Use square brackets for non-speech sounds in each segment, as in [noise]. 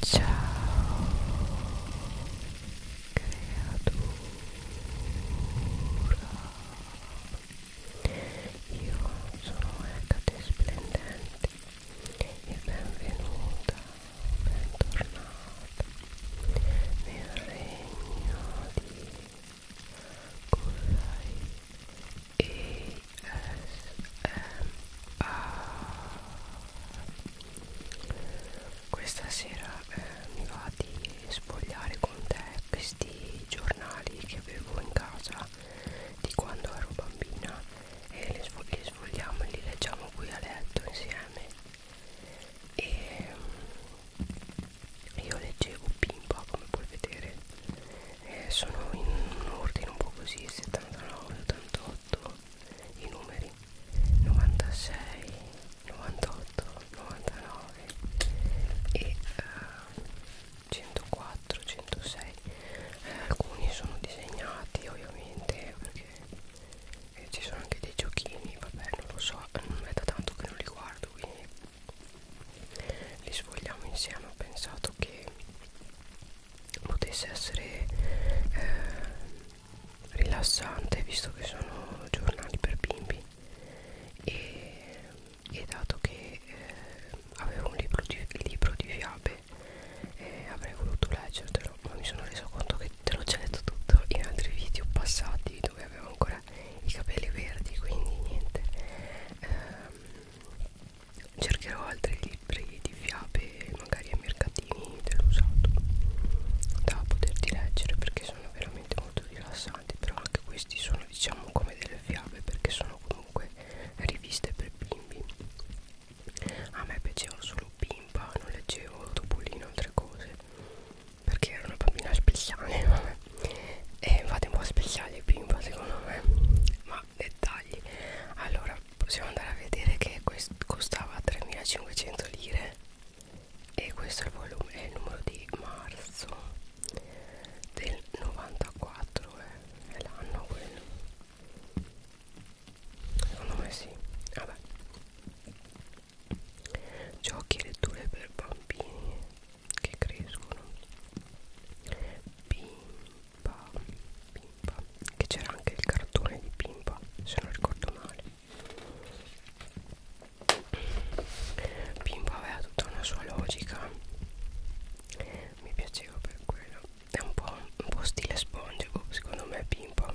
Ciao creatura Io sono Ecate Splendente e benvenuta, bentornata nel regno di Kurai questa sera eh, mi va di spogliare con te questi giornali che avevo in casa di quando ero bambina e li, svog li svogliamo e li leggiamo qui a letto insieme e mm, io leggevo Pimpa come puoi vedere eh, sono in un ordine un po' così 79, 88 i numeri 96 98 99 e uh, 104 106 eh, alcuni sono disegnati ovviamente perché eh, ci sono anche dei giochini vabbè non lo so non è da tanto che non li guardo quindi li sfogliamo insieme ho pensato che potesse essere eh, rilassante visto che sono giornali per bimbi e, e dato che eh, avevo un libro di, libro di fiabe eh, avrei voluto leggertelo ma mi sono reso conto che te l'ho già detto tutto in altri video passati dove avevo ancora i capelli verdi quindi niente eh, cercherò altri libri di fiabe magari ai mercatini dell'usato da poterti leggere perché sono veramente molto rilassanti però anche questi sono diciamo come delle fiabe perché sono comunque riviste per bimbi a me piaceva solo bimba non leggevo topolino altre cose perché era una bambina speciale [laughs] vabbè. e infatti un po' speciale bimba secondo me ma dettagli allora possiamo andare a vedere che questo costava 3500 lire e questo è il volume è il numero di marzo del 94 eh. è l'anno quello secondo me sì vabbè ah, giochi e letture per bambini che crescono bim bam bim Pimpa che c'era anche il cartone di Pimpa se non ricordo male Pimpa aveva tutta una sua logica mi piaceva per quello è un po', un po stile spongebo secondo me Pimpa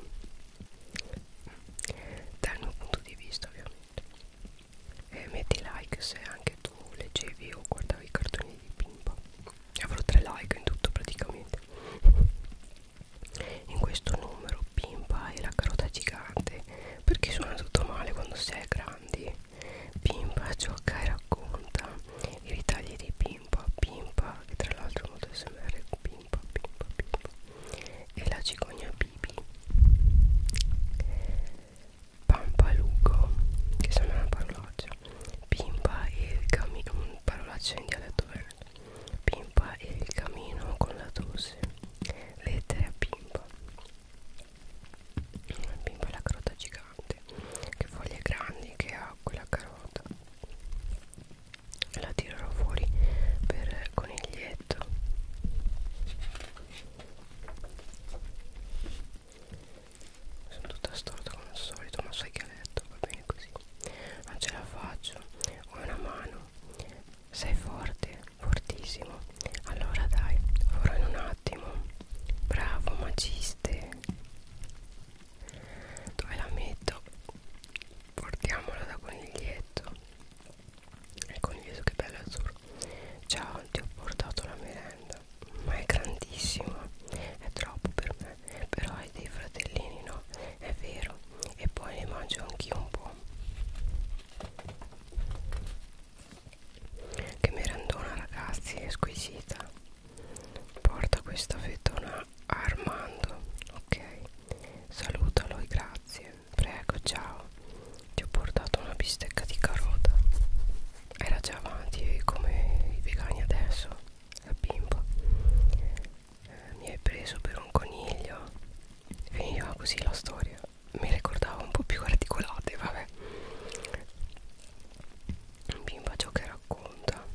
dal mio punto di vista ovviamente e metti like se anche tu leggevi o guardavi i cartoni di Pimpa avrò tre like in tutto praticamente in questo numero Pimpa e la carota gigante perché suona tutto male quando si è grandi Pimpa gioca e racconta i ritagli di Pimpa Pimpa che tra l'altro è molto smr Pimpa Pimpa Pimpa e la cicogna Bibi Pampalugo che sembra una parolaccia Pimpa e il camino, parolaccia in dialetto verde Pimpa e il camino con la tosse Lettere a Pimpa Pimpa è la carota gigante Che foglie grandi che ha quella carota La tirerò fuori per coniglietto sono tutta storta come al solito, ma sai che ha letto, vabbè bene così non ce la faccio ho una mano sei forte fortissimo allora dai ora in un attimo bravo magiste dove la metto portiamola da coniglietto il coniglietto che bello azzurro ciao ti ho portato la merenda ma è grandissima è troppo per me eh, però hai dei fratellini no è vero e poi ne mangio anch'io un po' che merendona ragazzi è squisita porta questa fettona a Armando ok salutalo e grazie prego ciao ti ho portato una bistecca di carota era già avanti come i vegani adesso la bimba eh, mi hai preso per un coniglio finiva così la storia mi ricordava un po' più articolate vabbè bimba ciò che racconta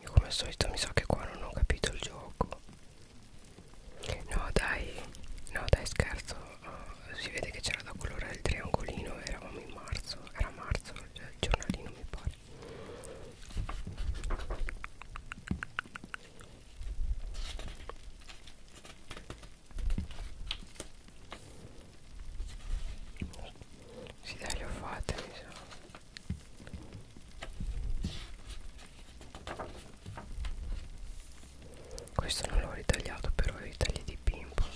io come al solito mi sa so che qua non ho capito il gioco no dai no dai scherzo uh, si vede che c'era da colorare il triangolino eravamo in marzo era marzo il giornalino mi pare sì dai le ho fatte mi sa Questo non l'ho ritagliato però i tagli di pimpo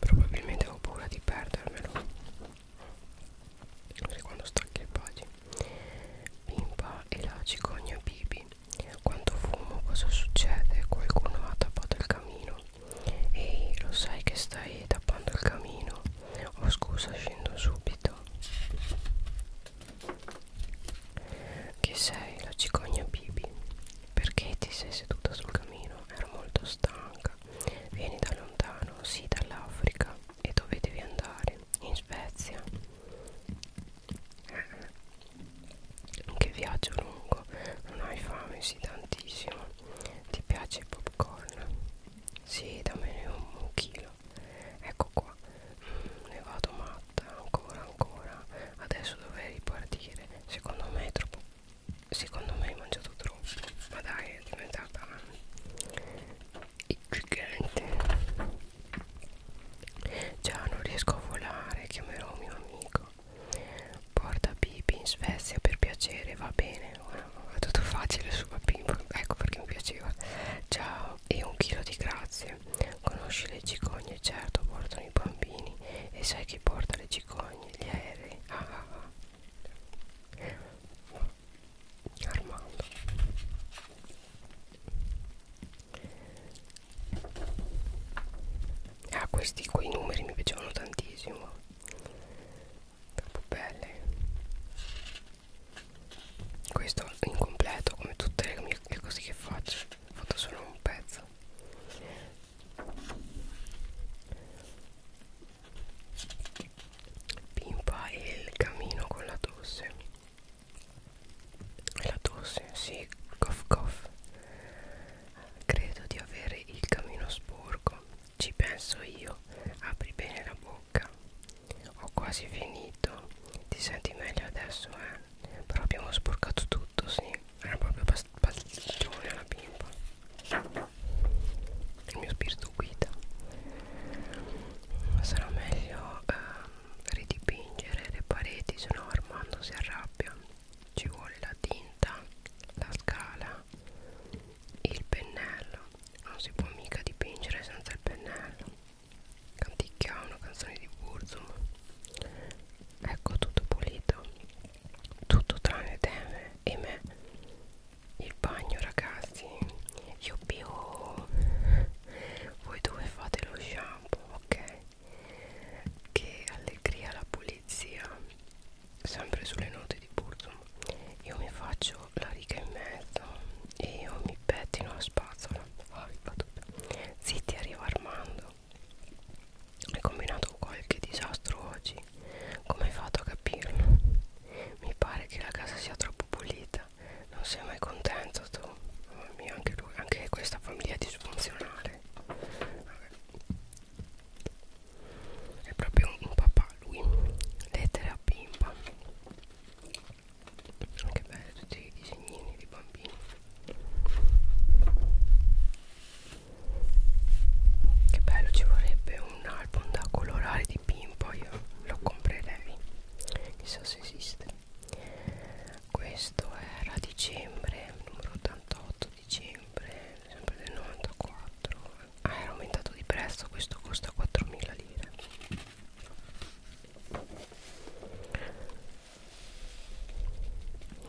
probabilmente ho paura di perdermelo sempre quando stacchi le pagine Pimpa e la cicogna Bibi quanto fumo cosa succede qualcuno ha tappato il camino ehi lo sai che stai tappando il camino oh scusa scendo subito che sei la cicogna Bibi? Perché ti sei seduta sul camino? Ero molto stanca. Vieni da lontano, sì, dall'Africa. E dove devi andare? In Svezia. Che viaggio lungo, non hai fame, sì, tantissimo. Ti piace il popcorn? Sì, dammene un, un chilo bello ecco qua mm, ne vado matta ancora ancora adesso dovrei ripartire secondo me è troppo secondo me hai mangiato troppo ma dai è diventata eh, gigante già non riesco a volare chiamerò un mio amico porta Bibi in Svezia per piacere va bene Ora, è tutto facile su Bibi ecco perché mi piaceva ciao e un chilo di grazie conosci le cicogne certo portano i bambini e sai chi porta le cicogne gli aerei ah, ah, ah. Armando ah questi quei numeri mi piacevano tantissimo troppo belle questo incompleto come tutte le mie le cose che faccio ho fatto solo un pezzo pimpa il camino con la tosse la tosse sì cough cough credo di avere il camino sporco ci penso io apri bene la bocca ho quasi finito. Ti senti meglio adesso, eh? Però abbiamo sporcato tutto, sì. Era proprio pastiglione alla bimba. Il mio spirito guida. Sarà meglio eh, ridipingere le pareti, se no Armando si arrabbia. Ci vuole la tinta, la scala, il pennello. Non si può mica dipingere senza il pennello canticchia una canzone di Burzum ecco tutto pulito tutto tranne te e me il bagno ragazzi io pio voi dove fate lo shampoo ok che allegria la pulizia sempre sulle note di Burzum io mi faccio la riga in mezzo e io mi pettino la spazzola ah, zitti arriva Armando hai combinato qualche disastro oggi come hai fatto a capirlo? mi pare che la casa sia troppo pulita non sei mai contento tu mamma mia anche, lui, anche questa famiglia è disfunzionale Vabbè. è proprio un, un papà lui lettera bimba che bello tutti i disegnini di bambini che bello ci vorrebbe un album da colorare di pimpo io lo comprerei chissà se esiste questo era dicembre numero 88 dicembre sempre del 94 ah, era aumentato di prezzo questo costa 4.000 lire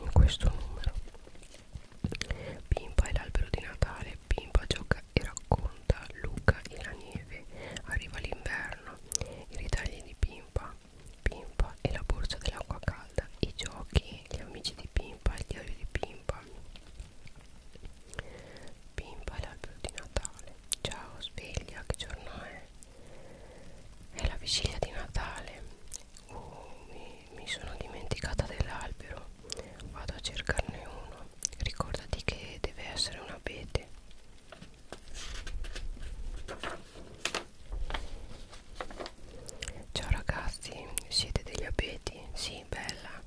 in questo numero Pimpa è l'albero di Natale Pimpa gioca e racconta Luca e la neve arriva l'inverno i ritagli di Pimpa Pimpa e la borsa dell'acqua calda i giochi, gli amici di Pimpa il diario di Pimpa Pimpa è l'albero di Natale. Ciao, sveglia, che giorno è? È la vigilia di Natale. Oh, mi, mi sono dimenticata dell'albero. Vado a cercarne uno. Ricordati che deve essere un abete. Ciao ragazzi, siete degli abeti? Sì, bella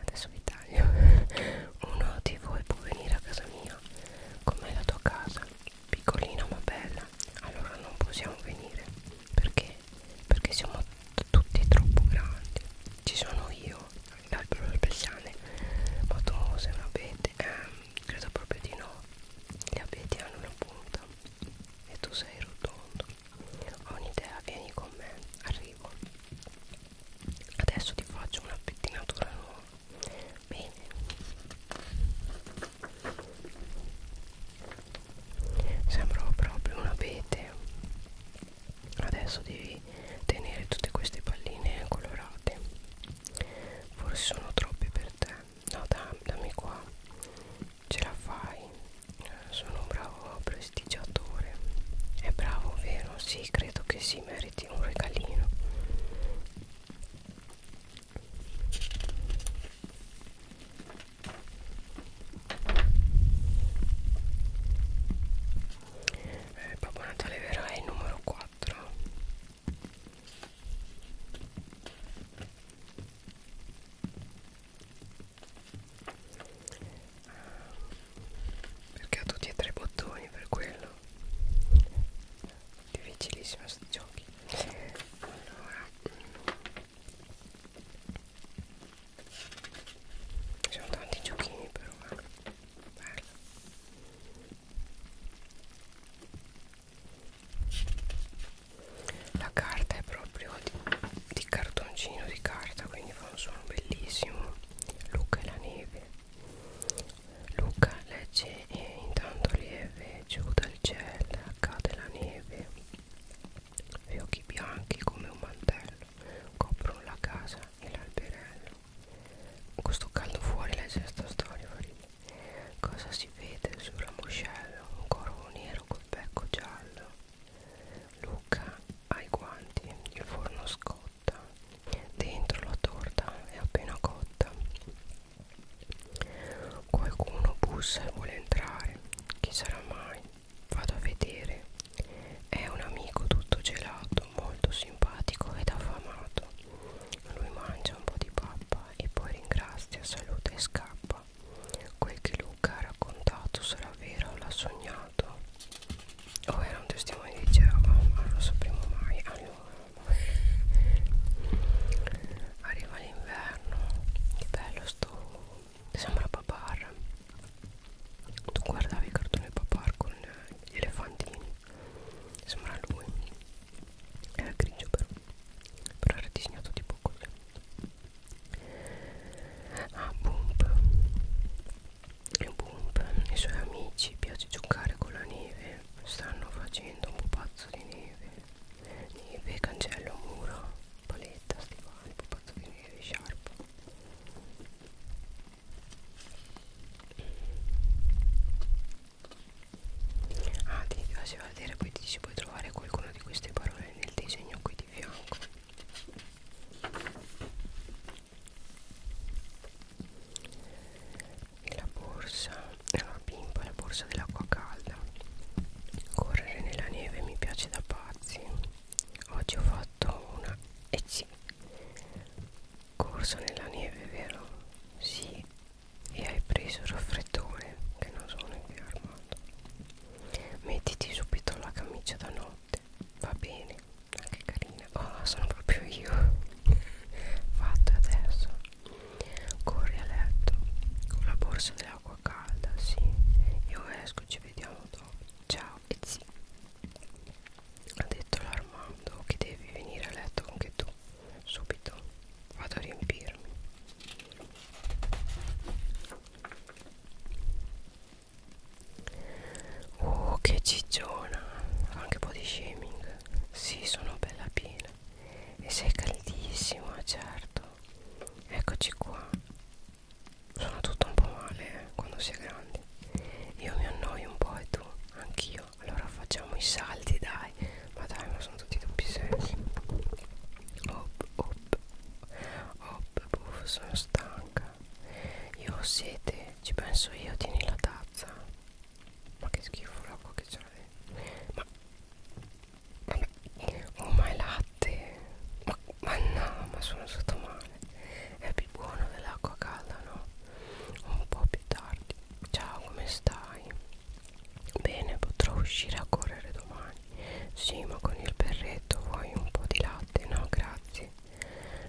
adesso vi taglio uno di voi può venire a casa mia com'è la tua casa piccolina ma bella allora non possiamo venire perché perché siamo tutti troppo grandi ci sono io l'albero delle persiane ma tu sei un abete eh, credo proprio di no gli abeti hanno una punta e tu sei rotondo ho un'idea vieni con me arrivo adesso ti faccio una pettinatura nuova bene sembrava proprio un abete adesso devi tenere tutte queste palline colorate forse sono troppe per te no dam, dammi qua ce la fai sono un bravo prestigiatore è bravo vero? sì credo che sì meriti un regalino eh, Babbo Natale verrà il numero 4 perché ho tutti e tre i bottoni per quello difficilissimo questi giochi allora mm. ci sono tanti giochini però eh. bello la carta è proprio di, di cartoncino di carta quindi fa un suono bellissimo Luca e la neve Luca legge e intanto lieve giù dal cielo cade la neve gli occhi bianchi come un mantello coprono la casa e l'alberello con sto caldo fuori legge sta storia farina. cosa si vede sul ramoscello un corvo nero col becco giallo Luca ha i guanti il forno scorre cotta dentro la torta è appena cotta qualcuno bussa e vuole entrare chi sarà mai vado a vedere è un amico tutto gelato molto simpatico ed affamato lui mangia un po' di pappa e poi ringrazia saluta e scappa quel che Luca ha raccontato sarà vero o l'ha sognato oh era un testimone che diceva oh, ma non lo sapremo mai allora arriva l'inverno che bello sto sembra papar tu guardavi i cartoni papar con gli elefantini sembra lui era grigio però però era disegnato tipo così ah boom e Boomp i suoi amici piace giocare con la neve stanno facendo un pupazzo di neve neve, cancello, muro paletta, stivali, pupazzo di neve, sciarpa ah ti piace vedere poi ti dice puoi trovare qualcuna di queste parole nel disegno qui di fianco e la borsa è una pimpa la borsa dell'acqua calda correre nella neve mi piace da pazzi oggi ho fatto una e eh sì corsa nella neve vero sì e hai preso il raffreddore che non sono in via armato mettiti subito la camicia da notte va bene ah, che carina oh sono proprio io fatto adesso corri a letto con la borsa dell'acqua calda sì io esco ci vediamo dopo ciao e zi ha detto l'armando che devi venire a letto anche tu subito vado a riempirmi Oh che cicciona, anche un po' di shaming sì, sono bella piena. E sei caldissimo, certo. Eccoci qua. Sono tutto un po' male eh, quando si è grandi. Io mi annoio un po' e tu, anch'io. Allora facciamo i salti, dai. Ma dai, ma sono tutti doppi sensi. Op, op, op, buff, sono stanca. Io ho sete, ci penso io, tieni la tazza. Ma che schifo l'acqua che c'era dentro Ma Vabbè Oh ma è latte ma, ma no ma sono stato male È più buono dell'acqua calda no? Un po' più tardi Ciao come stai? Bene potrò uscire a correre domani Sì ma con il berretto vuoi un po' di latte? No grazie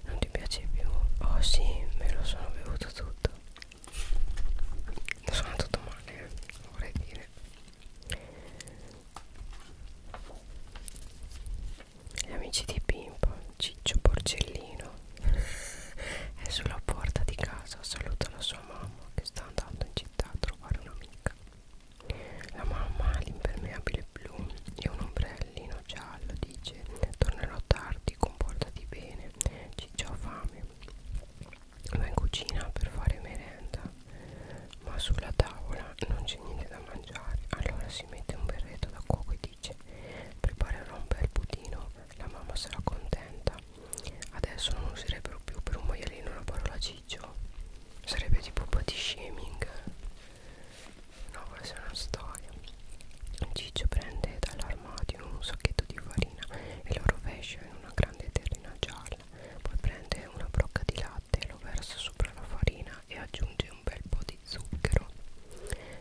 non ti piace più? Oh sì, me lo sono bevuto tutto sono tutto male vorrei dire gli amici di Pimpo Ciccio Porcellino è sulla porta di casa saluta la sua mamma che sta andando in città a trovare un'amica la mamma ha l'impermeabile blu e un ombrellino giallo dice tornerò tardi comportati bene ciccio ha fame va in cucina per fare merenda ma sulla tavola non c'è niente da mangiare allora si mette un berretto da cuoco e dice preparerò un bel budino la mamma sarà contenta adesso non userebbero più per un maialino la parola ciccio sarebbe tipo body shaming no questa è una storia Ciccio prende dall'armadio un sacchetto di farina e lo rovescia in una grande terrina gialla. Poi prende una brocca di latte, lo versa sopra la farina e aggiunge un bel po' di zucchero.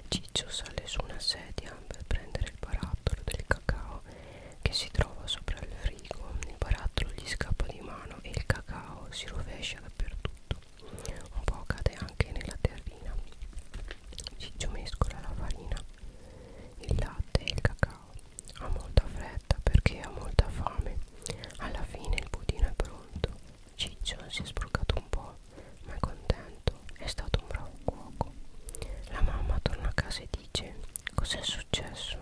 Ciccio sale su una sedia per prendere il barattolo del cacao che si trova sopra il frigo. Il barattolo gli scappa di mano e il cacao si rovescia dappertutto. Un po' cade anche nella terrina Ciccio mescola la farina, il latte e il cacao ha molta fretta perché ha molta fame alla fine il budino è pronto Ciccio si è sbrucato un po' ma è contento è stato un bravo cuoco la mamma torna a casa e dice cos'è successo?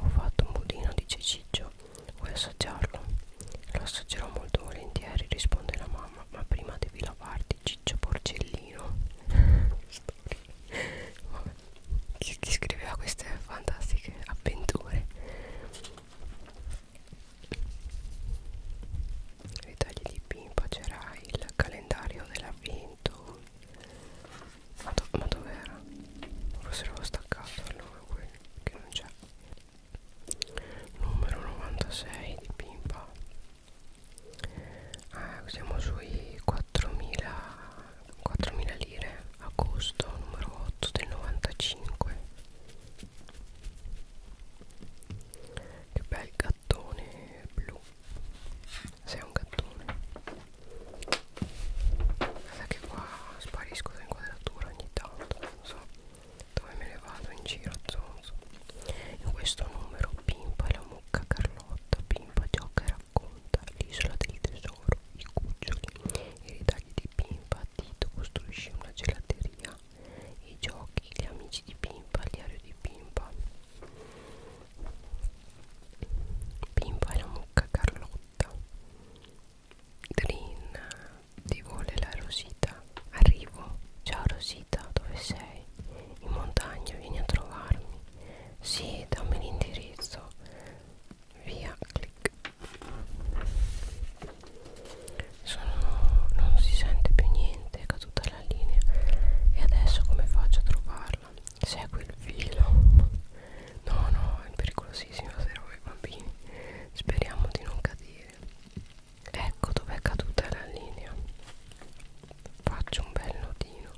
ho fatto un budino dice Ciccio vuoi assaggiarlo? lo assaggerò molto volentieri risponde la mamma mamma ma prima devi lavarti ciccio porcellino Vabbè. Chi, chi scriveva queste fantastiche avventure nei tagli di pimpa c'era il calendario dell'avvento ma, do, ma dov'era? forse l'avevo staccato allora quello che non c'è numero 96 di pimpa eh, siamo sui 4.000 4.000 lire agosto numero 8 del 95 che bel gattone blu sei un gattone guarda che qua sparisco dall'inquadratura ogni tanto non so dove me ne vado in giro a zonzo in questo numero Pimpa e la mucca Carlotta Pimpa gioca e racconta l'isola del tesoro i cuccioli i ritagli di Pimpa Tito costruisce una gelateria i giochi gli amici di Pimpa il diario di Pimpa Pimpa e la mucca Carlotta Green ti vuole la rosita Arrivo, ciao Rosita, dove sei? In montagna, vieni a trovarmi. Sì, dammi l'indirizzo. Via, clic. Sono, non si sente più niente, è caduta la linea. E adesso come faccio a trovarla? Segui il filo. No, no, è pericolosissimo servo i bambini. Speriamo di non cadere ecco dov'è caduta la linea faccio un bel nodino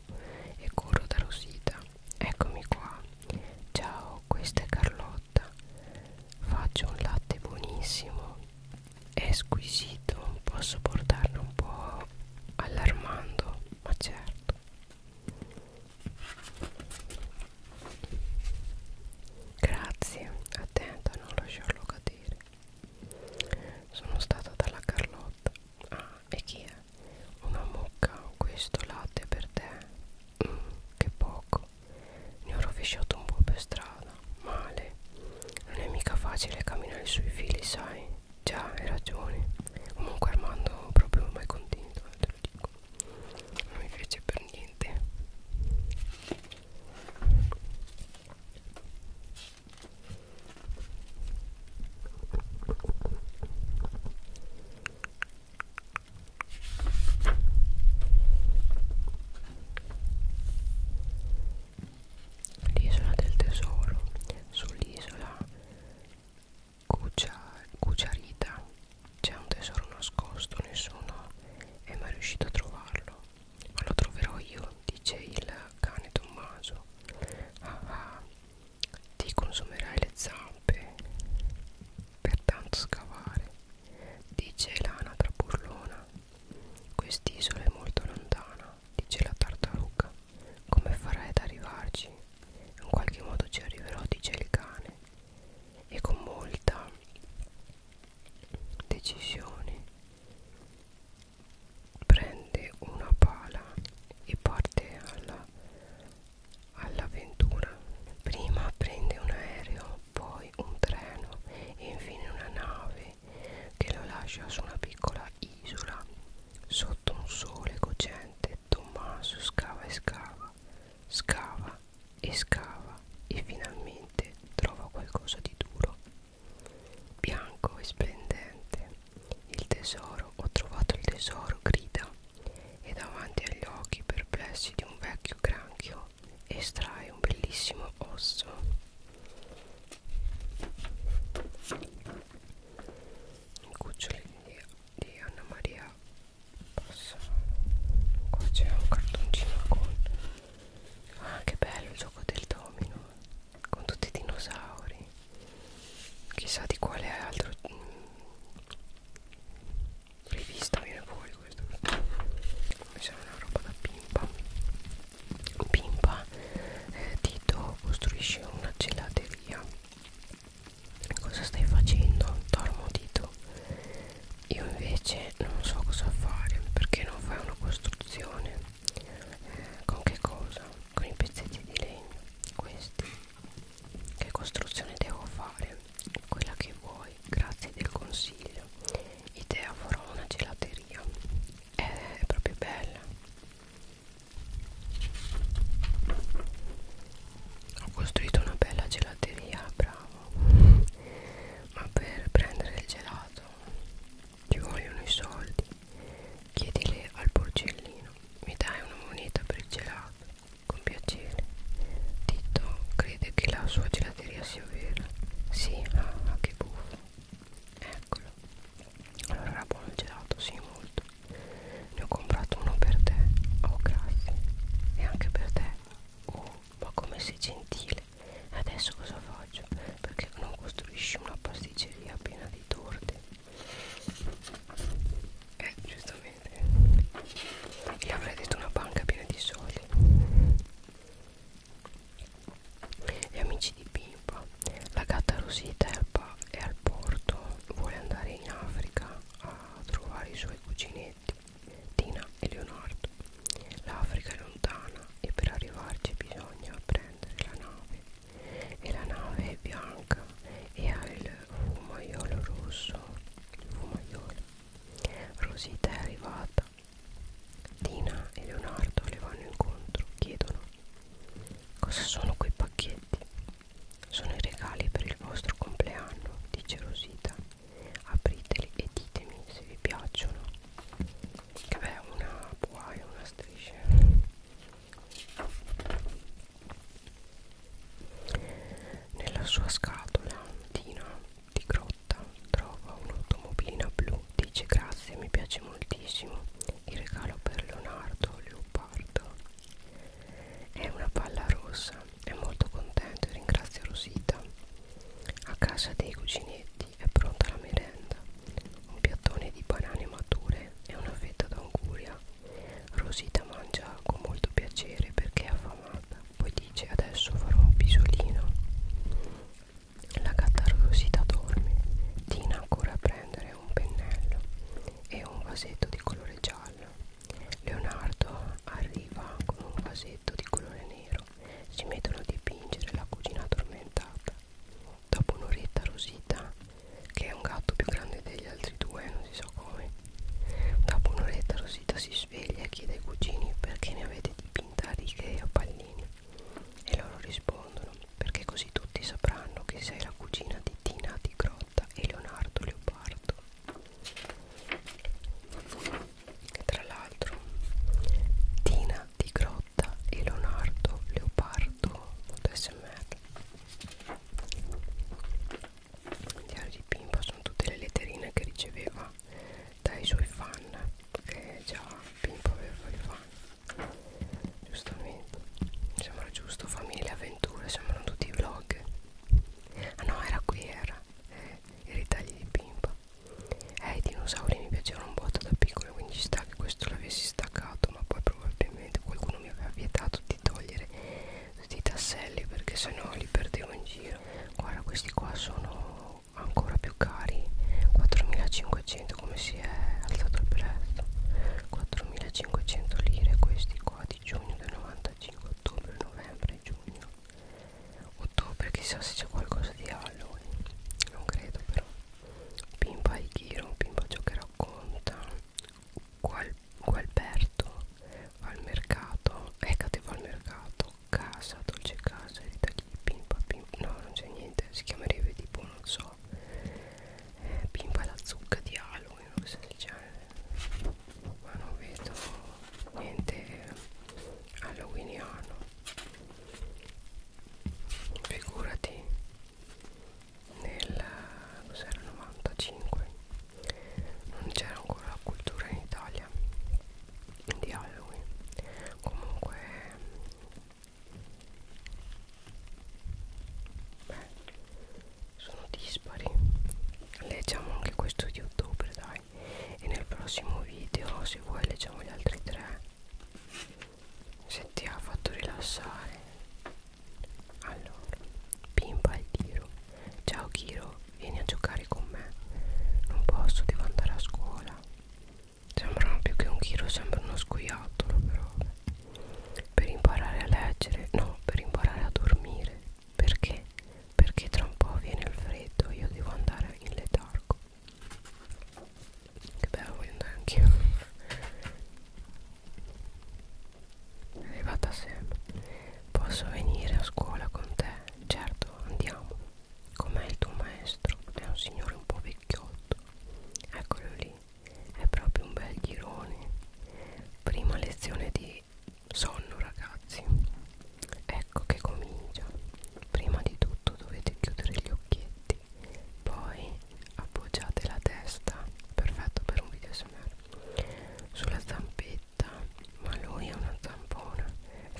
e corro da Rosita eccomi qua ciao questa è Carlotta faccio un latte buonissimo è squisito posso portarlo un po' all'Armando ma certo grazie attenta a non lasciarlo cadere sono stata dalla Carlotta. Ah, e chi è? Una mucca, questo latte per te. Mm, che poco. Ne ho rovesciato un po' per strada. Male. Non è mica facile camminare sui fili, sai? Già, hai ragione. Comunque Armando proprio mai contento, eh, te lo dico. Non mi piace per niente. L'isola del tesoro sull'isola Cucciarita c'è un tesoro nascosto, nessuno è mai riuscito a trovarlo ma lo troverò io dice il cane Tommaso ah, ah, ti consumerai le zampe per tanto scavare dice l'anatra burlona quest'isola è molto lontana dice la tartaruga come farai ad arrivarci in qualche modo ci arriverò dice il cane e con molta decisione prende una pala e parte alla, all'avventura prima prende un aereo poi un treno e infine una nave che lo lascia su una piccola isola sotto un sole cocente Tommaso scava e scava scava e scava e finalmente trova qualcosa di duro bianco e splendente. Il tesoro, ho trovato il tesoro, grida, e davanti agli occhi perplessi di un vecchio granchio estrae un bellissimo osso. Cuccioli di, di Anna Maria Posso. Qua c'è un cartoncino con. Ah, che bello il gioco del domino! con tutti i dinosauri chissà di quale altro mm, rivista viene fuori questo mi sembra una roba da pimpa pimpa eh, Tito costruisce una gelateria cosa stai facendo? dormo Tito io invece non so cosa fare perché non fai una costruzione con che cosa? con i pezzetti di legno questi che costruzione devo fare? quella che vuoi grazie del consiglio idea farò una gelateria è proprio bella ho costruito una bella gelateria bravo ma per prendere il gelato ci vogliono i soldi Chiedile al porcellino, mi dai una moneta per il gelato? Con piacere. Tito crede che la sua gelateria sia vera. Sì, ah, che buffo. Eccolo. Allora era buono il gelato, sì, molto. Ne ho comprato uno per te. Oh, grazie. E anche per te. Oh, ma come sei gentile male adesso cosa faccio perché non costruisci una pasticceria piena di torte eh giustamente gli avrei detto una banca piena di soldi gli amici di Pimpa la gatta Rosita è al, è al porto vuole andare in Africa a trovare i suoi cuginetti Tina e Leonardo l'Africa è lontana e per arrivarci bisogna pre prendere la nave e la nave è bianca e ha il fumaiolo rosso il fumaiolo Rosita è arrivata Tina e Leonardo le vanno incontro chiedono cosa sono quei pacchetti sono i regali per il vostro compleanno dice Rosita apriteli e ditemi se vi piacciono Vabbè, una buaia, una striscia. Nella sua scatola, Tina di Grotta trova un'automobilina blu. Dice grazie, mi piace moltissimo. Il regalo per Leonardo Leopardo è una palla rossa. È molto contento e ringrazia Rosita. A casa dei cuginetti avanti è pronta la merenda un piattone di banane mature e una fetta d'anguria Rosita mangia con molto piacere perché è affamata poi dice adesso farò un pisolino la gatta Rosita dorme Tina ancora a prendere un pennello e un vasetto di colore giallo Leonardo arriva con un vasetto di colore nero si mettono a dipingere la cucina addormentata Dopo un'oretta Rosita, che è un gatto più grande degli altri due, non si sa so come, dopo un'oretta Rosita si sveglia e chiede ai cugini perché ne avete dipinta a righe o pallini. E loro rispondono, perché così tutti sapranno che sei la cugina di Tina di Grotta e Leonardo Leopardo. Che tra l'altro Tina di Grotta Carlotta e Leonardo Leopardo smr Diario di Pimpa sono tutte le letterine che riceveva dai suoi fan che già Pimpa aveva i fan giustamente sembra giusto famiglia avventure sembrano tutti i vlog ah no era qui era eh, i ritagli di Pimpa eh i dinosauri mi piacevano un botto da piccolo quindi ci sta che questo l'avessi staccato ma poi probabilmente qualcuno mi aveva vietato di togliere tutti i tasselli perché sennò li perdevo in giro guarda questi qua sono ancora più cari 4500 come si è alzato il prezzo 4500 lire questi qua di giugno del 95 ottobre novembre giugno ottobre chissà se c'è qualcosa di Halloween eh. non credo però Pimpa Ighiro, Pimpa ciò che racconta Qual, Gualberto va al mercato Ecate ecco, va al mercato Casa, dolce casa, Rita Ghi, Pimpa, Pimpa No, non c'è niente, si chiamerebbe tipo, non so eh, Pimpa la zucca di Halloween, non so se c'è Ma non vedo niente halloweeniano Figurati nel cos'era 95 non c'era ancora la cultura in Italia di Halloween comunque beh, sono dispari leggiamo anche questo di ottobre dai e nel prossimo video se vuoi leggiamo gli altri tre se ti ha fatto rilassare allora pimpa il tiro ciao Kiro vieni a giocare con me non posso devo andare a scuola sembra più che un Kiro sembra uno scoiattolo però per imparare a leggere no per imparare a dormire perché perché tra un po' viene il freddo io devo andare in letargo che bello voglio andare anch'io è arrivata Sam posso venire a scuola con te? certo andiamo com'è il tuo maestro? è un signore un po' vecchiotto eccolo lì è proprio un bel girone prima lezione di sonno ragazzi ecco che comincia prima di tutto dovete chiudere gli occhietti poi appoggiate la testa perfetto per un video smr sulla zampetta ma lui è una zampona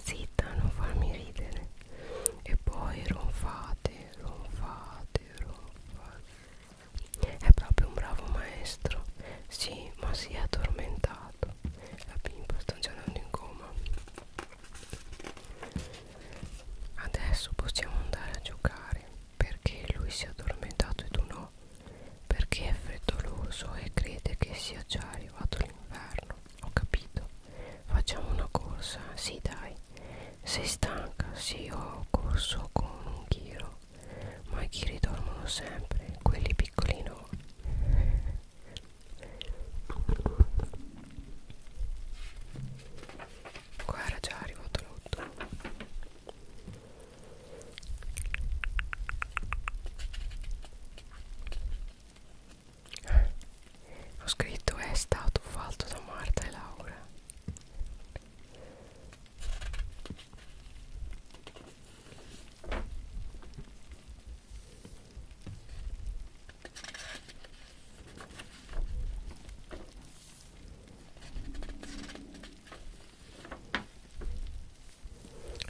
zitta non farmi ridere e poi ronfate ronfate ronfate è proprio un bravo maestro sì ma si è addormentato la bimba sta già andando in coma Adesso possiamo andare a giocare perché lui si è addormentato e tu no, perché è freddoloso e crede che sia già arrivato l'inverno. Ho capito. Facciamo una corsa, sì dai. Sei stanca? Sì, ho corso con un ghiro. Ma i ghiri dormono sempre, quelli piccoli no qua era già arrivato l'otto eh, ho scritto è stato fatto da Marta e Laura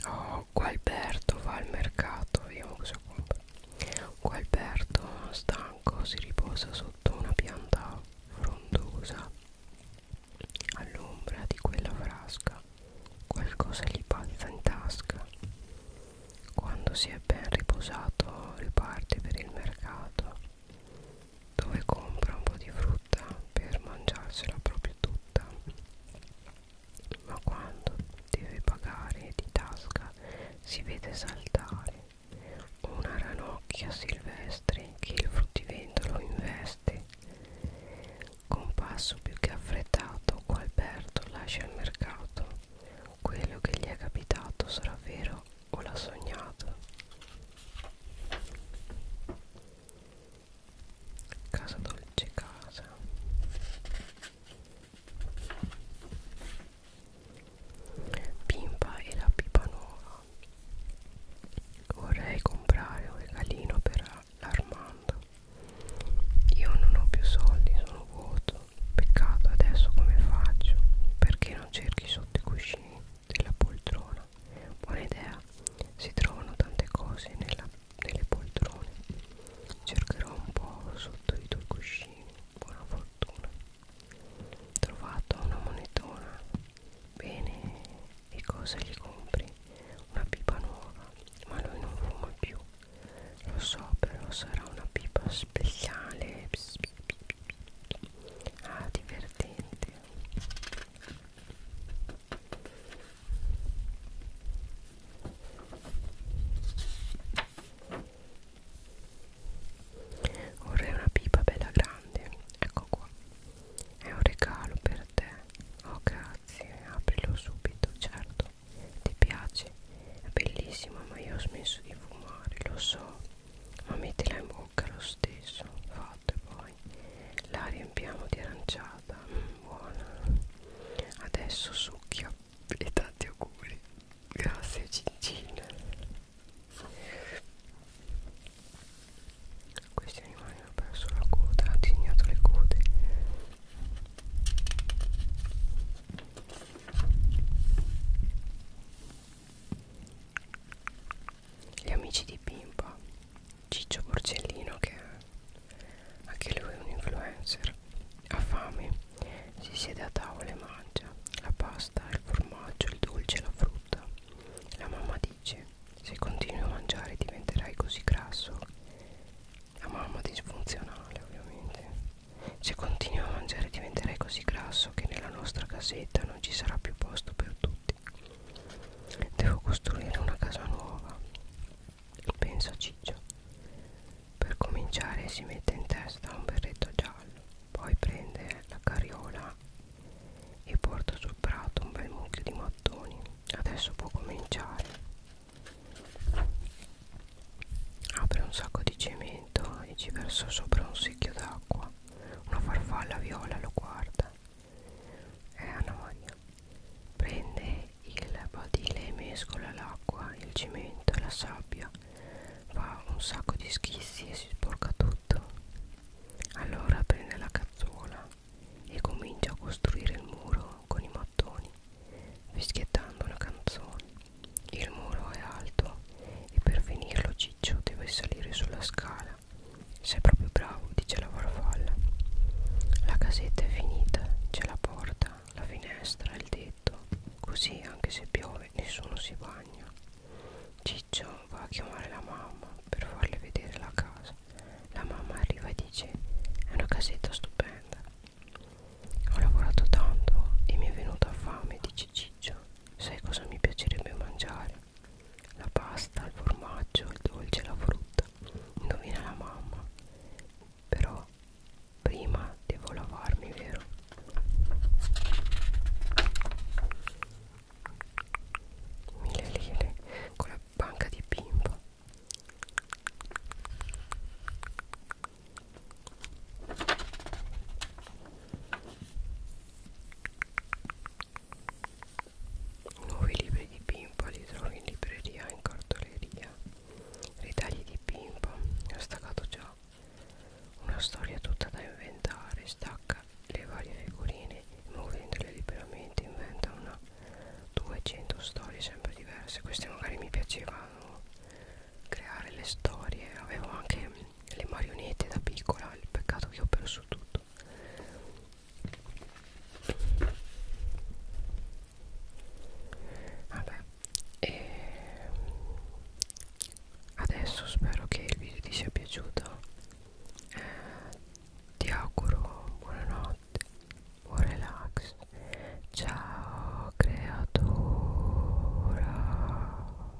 Oh, Gualberto va al mercato, vediamo cosa compra. Gualberto, stanco, si riposa sotto una pianta frondosa all'ombra di quella frasca. Qualcosa gli balza in tasca. Quando si è ben riposato, riparte per il mercato dove compra un po' di frutta per mangiarsela proprio tutta ma quando deve pagare di tasca si vede saltare una ranocchia silvestre che il fruttivendolo investe con passo più che affrettato Gualberto lascia il mercato quello che gli è capitato sarà vero o l'ha sognata casa dolce casa Pimpa e la pipa nuova vorrei comprare un regalino per l'Armando io non ho più soldi sono vuoto Peccato adesso come faccio? Perché non cerchi sotto i cuscini della poltrona? Buona idea, si trovano tante cose nella, nelle poltrone. Cercherò un po' sotto i tuoi cuscini. Buona fortuna. Trovato una monetona. Bene, e cosa gli compri? Una pipa nuova, ma lui non fuma più. Lo so, però sarà una pipa speciale. Pss, pss, pss, ah divertente vorrei una pipa bella grande ecco qua è un regalo per te oh grazie aprilo subito certo ti piace è bellissimo ma io ho smesso di fumare lo so ma mettila in bocca lo stesso fatto e poi la riempiamo di aranciata mm, buona adesso succhia e tanti auguri grazie Cincin questi animali hanno perso la coda hanno disegnato le code gli amici di Pimpa Ciccio Porcellino che anche lui è un influencer ha fame si siede a tavola e mangia la pasta, il formaggio, il dolce, la frutta la mamma dice se continui a mangiare diventerai così grasso la mamma disfunzionale ovviamente se continuo a mangiare diventerai così grasso che nella nostra casetta non ci sarà più posto per tutti. Devo costruire una casa nuova, pensa Ciccio. Per cominciare si mette in testa un berretto giallo, poi prende la carriola e porta sul prato un bel mucchio di mattoni. Adesso può cominciare. Apre un sacco di cemento e ci versa sopra un secchio d'acqua. Una farfalla viola lo guarda. È Anna Maria. Prende il badile e mescola l'acqua, il cemento e la sabbia. Fa un sacco di schissi e si sporca tutto. Allora prende la cazzuola e comincia a costruire il muro con i mattoni, fischiettando una canzone. Il muro è alto e per finirlo Ciccio deve salire sulla scala. Sei proprio bravo, dice la farfalla. La casetta è finita, c'è la porta, la finestra, il tetto. Così anche se piove nessuno si bagna. Ciccio va a chiamare la mamma per farle vedere la casa. La mamma arriva e dice è una casetta stupenda. Ho lavorato tanto e mi è venuta fame, dice Ciccio pomeriggio sai cosa mi piacerebbe mangiare? La pasta, il formaggio, il dolce, la frutta. Indovina la mamma. Però prima devo lavarmi, vero? Mille lire con la banca di bimbo. Nuovi libri di Pimpa li trovi in libreria, in cartoleria. Ritagli di Pimpa, ho staccato già. Una storia tutta da inventare, stacca le varie figurine, muovendole liberamente inventa una 200 storie sempre diverse. Queste magari mi piacevano creare le storie, avevo anche le marionette da piccola il peccato che ho perso tutto vabbè e adesso spero che il video ti sia piaciuto eh, ti auguro buonanotte buon relax ciao creatura